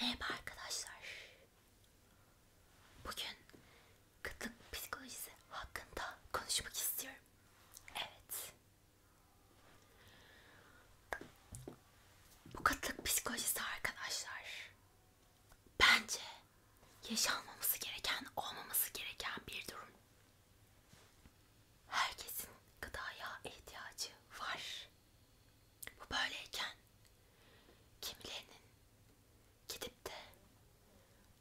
Merhaba arkadaşlar. Bugün kıtlık psikolojisi hakkında konuşmak istiyorum. Evet. Bu kıtlık psikolojisi arkadaşlar bence yaşanmaması gereken, olmaması gereken bir durum. Herkesin gıdaya ihtiyacı var. Bu böyleyken kimilerinin gidip de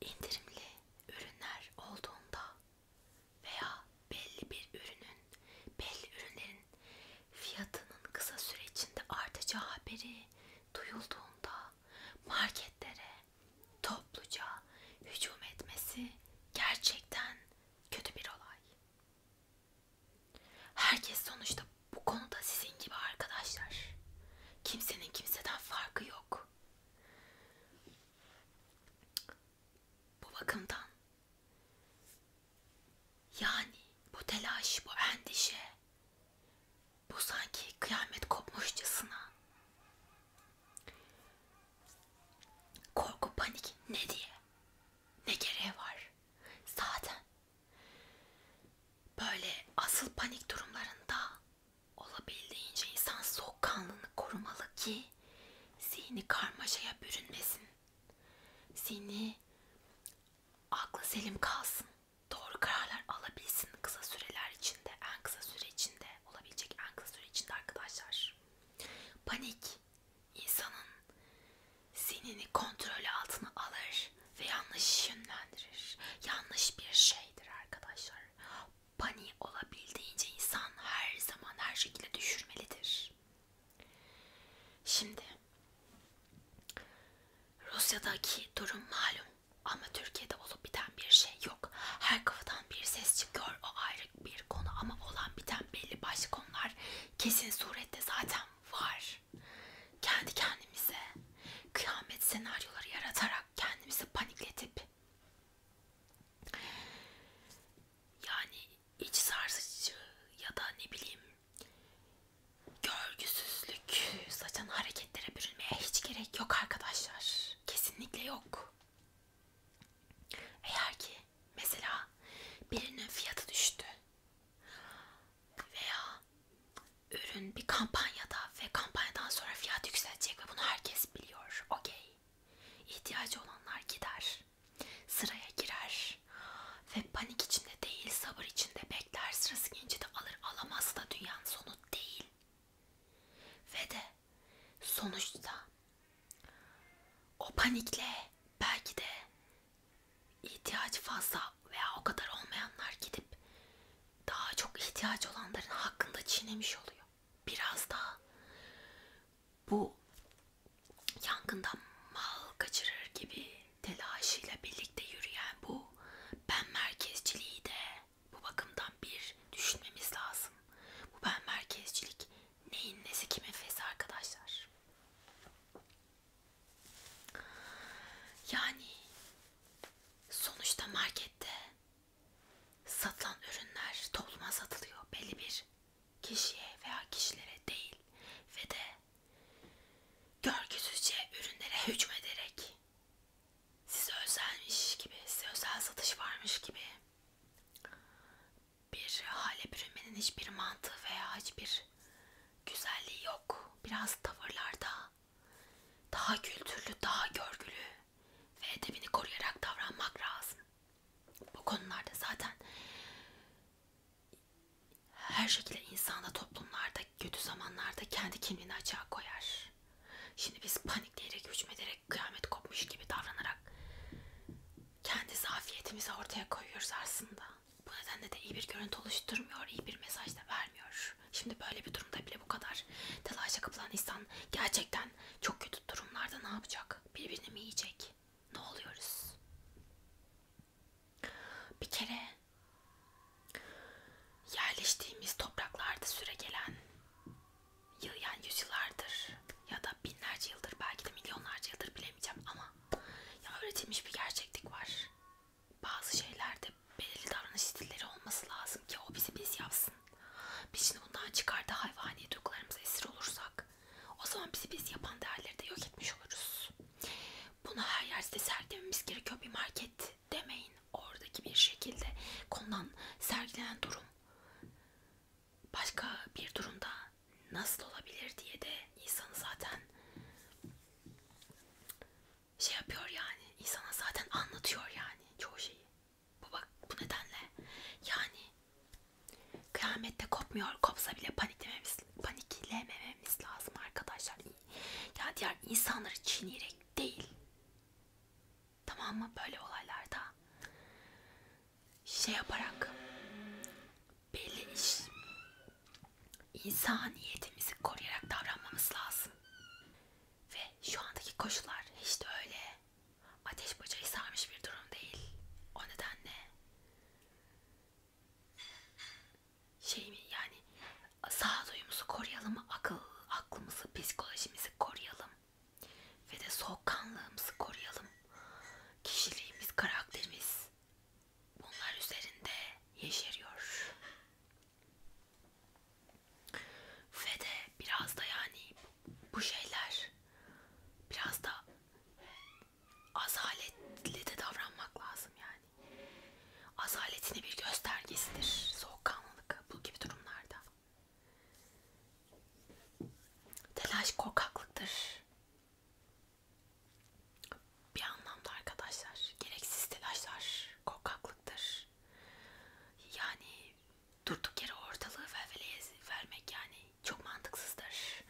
indirimli ürünler olduğunda veya belli bir ürünün, belli ürünlerin fiyatının kısa süre içinde artacağı haberi duyulduğunda marketlere topluca hücum etmesi gerçekten kötü bir olay. Herkes sonuçta bu konuda sizin gibi arkadaşlar. Kimsenin kimseden farkı yok. Bu bakımdan yani bu telaş, bu endişe, bu sanki kıyamet kopmuşçasına korku, panik ne diye ne gereği var? Zaten Böyle asıl panik durumlarında olabildiğince insan soğukkanlılığını korumalı ki zihni karmaşaya bürünmesin. Zihni aklı selim kalsın. Doğru kararlar alabilsin kısa süreler içinde, en kısa süre içinde olabilecek en kısa süre içinde arkadaşlar. Panik insanın zihnini kontrolü altına alır ve yanlış yönlendirir. Yanlış bir şeydir arkadaşlar. Pani olabildiğince insan her zaman her şekilde düşürmelidir. Şimdi Rusya'daki durum malum ama Türkiye'de olup biten bir şey yok. Her kafadan bir ses çıkıyor o ayrı bir konu ama olan biten belli başlı konular kesin surette zaten var. Kendi kendimize kıyamet senaryoları yaratarak kendimizi panikletip yani iç sarsıcı ya da ne bileyim görgüsüzlük saçan hareketlere bürünmeye hiç gerek yok arkadaşlar. Kesinlikle yok. Eğer ki mesela birinin fiyatı düştü veya ürün bir kampanyada ve kampanyadan sonra fiyat yükselecek ve bunu herkes biliyor. Okey. İhtiyacı olanlar gider. Sıraya girer. Ve panik içinde değil, sabır içinde bekler. Sırası gelince de alır. Alamazsa da dünyanın sonu değil. Ve de sonuçta o panikle belki de ihtiyaç fazla veya o kadar olmayanlar gidip daha çok ihtiyaç olanların hakkında çiğnemiş oluyor. Biraz daha bu yangından mal kaçırır gibi telaşıyla birlikte yürüyen bu ben merkezciliği de bu bakımdan bir düşünmemiz lazım. Bu ben merkezcilik neyin nesi kimin fesi arkadaşlar. Yani sonuçta markette satılan ürünler topluma satılıyor belli bir kişiye veya kişilere değil ve de görgüsüzce ürünlere hükmederek size özelmiş gibi, size özel satış varmış gibi bir hale bürünmenin hiçbir mantığı veya hiçbir güzelliği yok. Biraz tavırlarda daha kültürlü, daha görgülü ve edebini koruyarak davranmak lazım. Bu konularda zaten her şekilde insanda toplumlarda kötü zamanlarda kendi kimliğini açığa koyar. Şimdi biz panikleyerek, hükmederek, kıyamet kopmuş gibi davranarak kendi zafiyetimizi ortaya koyuyoruz aslında bu nedenle de iyi bir görüntü oluşturmuyor, iyi bir mesaj da vermiyor. Şimdi böyle bir durumda bile bu kadar telaşa kapılan insan gerçekten çok kötü durumlarda ne yapacak? Birbirini mi yiyecek? Ne oluyoruz? Bir kere yerleştiğimiz topraklarda süre gelen yani yüzyıllardır ya da binlerce yıldır belki de milyonlarca yıldır bilemeyeceğim ama ya öğretilmiş bir gerçeklik var. Bazı şeylerde belirli davranış stilleri olması lazım ki o bizi biz yapsın. Biz şimdi bundan çıkardı hayvani duygularımıza esir olursak o zaman bizi biz yapan değerleri de yok etmiş oluruz. Bunu her yerde sergilememiz gerekiyor bir market demeyin. Oradaki bir şekilde konulan sergilenen durum başka bir durumda nasıl olabilir diye de insanı zaten şey yapıyor yani insana zaten anlatıyor yani çoğu şeyi. Bu bak bu nedenle yani kıyamette kopmuyor kopsa bile paniklememiz, paniklemememiz lazım arkadaşlar. Ya diğer insanları çiğneyerek değil. Tamam mı böyle olaylarda şey yaparak belli iş insaniyetimizi koruyarak davranmamız lazım. Ve şu andaki koşullar hiç de öyle ateş bacayı sarmış bir durum değil. O nedenle şey mi yani sağduyumuzu koruyalım, akıl, aklımızı, psikolojimizi koruyalım ve de soğukkanlığımızı koruyalım. Kişiliğimiz, karakterimiz bunlar üzerinde yeşeriyor. Ve de biraz da yani bu şeyler biraz da azaletli de davranmak lazım yani. Azaletini bir göstergesidir soğukkanlılık bu gibi durumlarda. Telaş korkaklıktır. Bir anlamda arkadaşlar gereksiz telaşlar korkaklıktır. Yani durduk yere ortalığı velveleye vermek yani çok mantıksızdır.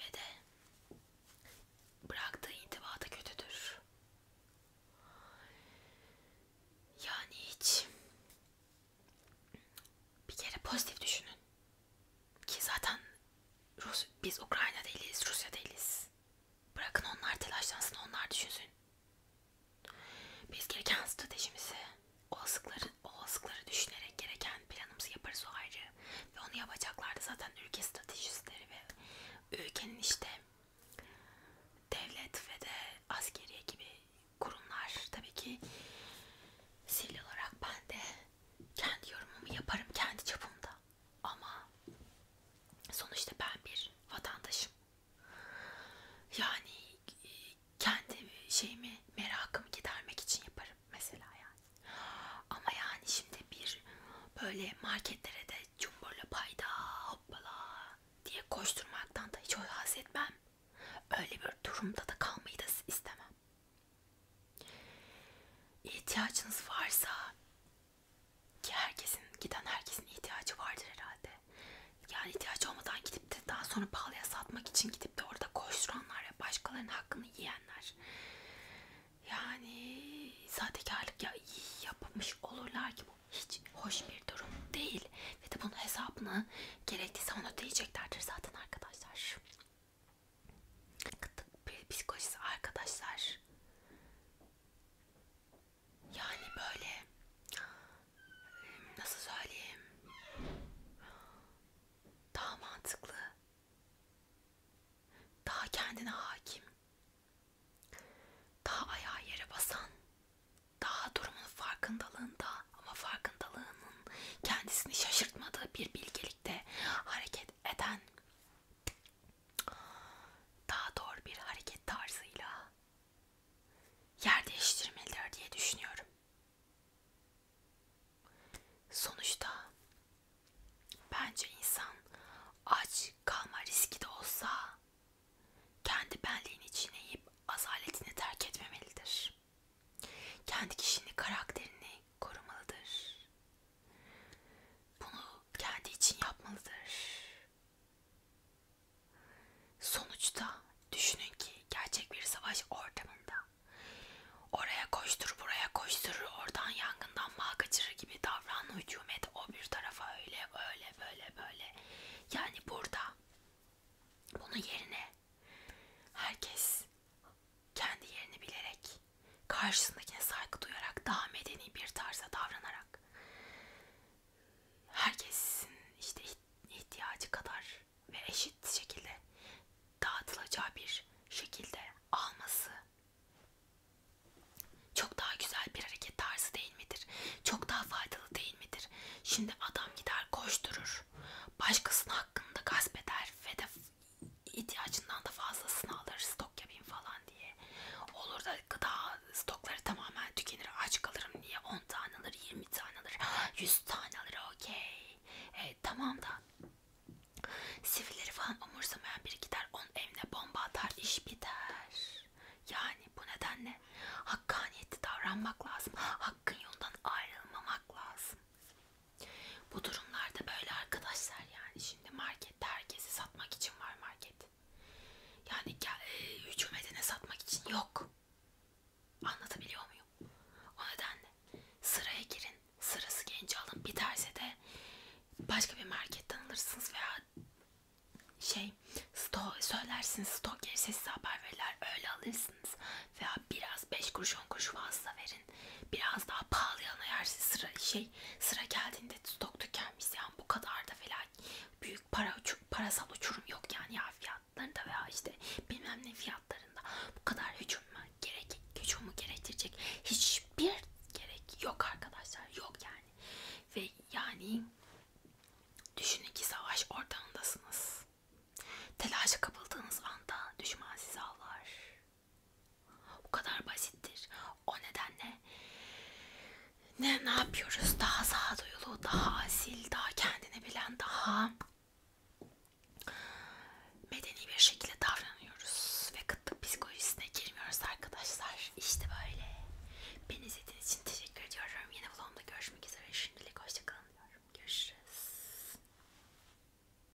Ve de bıraktığı intiba da kötüdür. Yani hiç bir kere pozitif düşünün. Ki zaten Rus, biz Ukrayna değiliz, Rusya değiliz. Bırakın onlar telaşlansın, onlar düşünsün. Biz gereken stratejimizi, olasılıkları, olasılıkları düşünerek gereken planımızı yaparız o ayrı. Ve onu yapacaklar da zaten ülke stratejistleri ve ülkenin işte devlet ve de askeriye gibi kurumlar. Tabii ki sivil olarak ben de kendi yorumumu yaparım kendi çapımda ama sonuçta ben bir vatandaşım yani kendi şeyimi merakımı gidermek için yaparım mesela yani ama yani şimdi bir böyle marketlere de cumburla payda hoppala diye koşturmaktan da hiç haz etmem öyle bir durumda da kalmayı da istemem İhtiyacınız varsa ki herkesin giden herkesin ihtiyacı vardır herhalde. Yani ihtiyacı olmadan gidip de daha sonra pahalıya satmak için gidip de orada koşturanlar ya başkalarının hakkını yiyenler. Yani sahtekarlık ya iyi yapmış olurlar ki bu hiç hoş bir durum değil. Ve de bunun hesabını gerektiyse onu ödeyeceklerdir zaten arkadaşlar kıtlık psikolojisi arkadaşlar yani böyle nasıl söyleyeyim daha mantıklı daha kendine hakim daha ayağı yere basan daha durumun farkındalığında ama farkındalığının kendisini şaşırtmadığı bir bilgelikte hareket eden daha doğru bir hareket tarzıyla yer değiştirmelidir diye düşünüyorum. Sonuçta bence insan aç kalma riski de olsa kendi benliğini içine yiyip azaletini terk etmemelidir. Kendi kişinin karakterini korumalıdır. Bunu kendi için yapmalıdır. Sonuçta düşünün ki gerçek bir savaş ortamında oraya koştur buraya koşturur oradan yangından bağ kaçırır gibi davran hücumet o bir tarafa öyle öyle böyle böyle yani burada bunun yerine herkes kendi yerini bilerek karşısındakine saygı duyarak daha medeni bir tarza davranarak herkesin işte ihtiyacı kadar ve eşit şekilde dağıtılacağı bir şekilde alması çok daha güzel bir hareket tarzı değil midir? Çok daha faydalı değil midir? Şimdi adam gider koşturur, başkasının hakkında gasp eder ve de ihtiyacından da fazlasını alır stok yapayım falan diye. Olur da gıda stokları tamamen tükenir aç kalırım diye 10 tane alır 20 tane alır 100 tane alır okey. Evet, tamam da sivilleri falan umursamayan biri gider onun evine bomba atar iş biter. Yani bu nedenle hakkaniyetli davranmak lazım. Hakkın yoldan ayrılmamak lazım. Bu durumlarda böyle arkadaşlar yani şimdi markette herkesi satmak için var market. Yani e, hücum edene satmak için yok. Anlatabiliyor muyum? O nedenle sıraya girin, sırası genci alın. Biterse de başka bir marketten alırsınız veya şey sto söylersiniz stok gelirse size haber verirler öyle alırsınız veya biraz 5 kuruş 10 kuruş fazla verin ürünlerin biraz daha pahalı yanı eğer sıra şey sıra geldiğinde stok tükenmişse yani bu kadar da falan büyük para parasal uçurum yok yani ya fiyatlarında veya işte bilmem ne fiyatlarında bu kadar hücum gerek hücumu gerektirecek hiçbir gerek yok arkadaşlar yok yani ve yani düşünün ki savaş ortamındasınız telaşa kapıldığınız anda düşman sizi avlar o kadar basittir. O nedenle ne ne yapıyoruz? Daha sağduyulu, daha asil, daha kendini bilen, daha medeni bir şekilde davranıyoruz ve kıtlık psikolojisine girmiyoruz arkadaşlar. İşte böyle. Beni izlediğiniz için teşekkür ediyorum. Yeni vlogumda görüşmek üzere. Şimdilik hoşçakalın diyorum. Görüşürüz.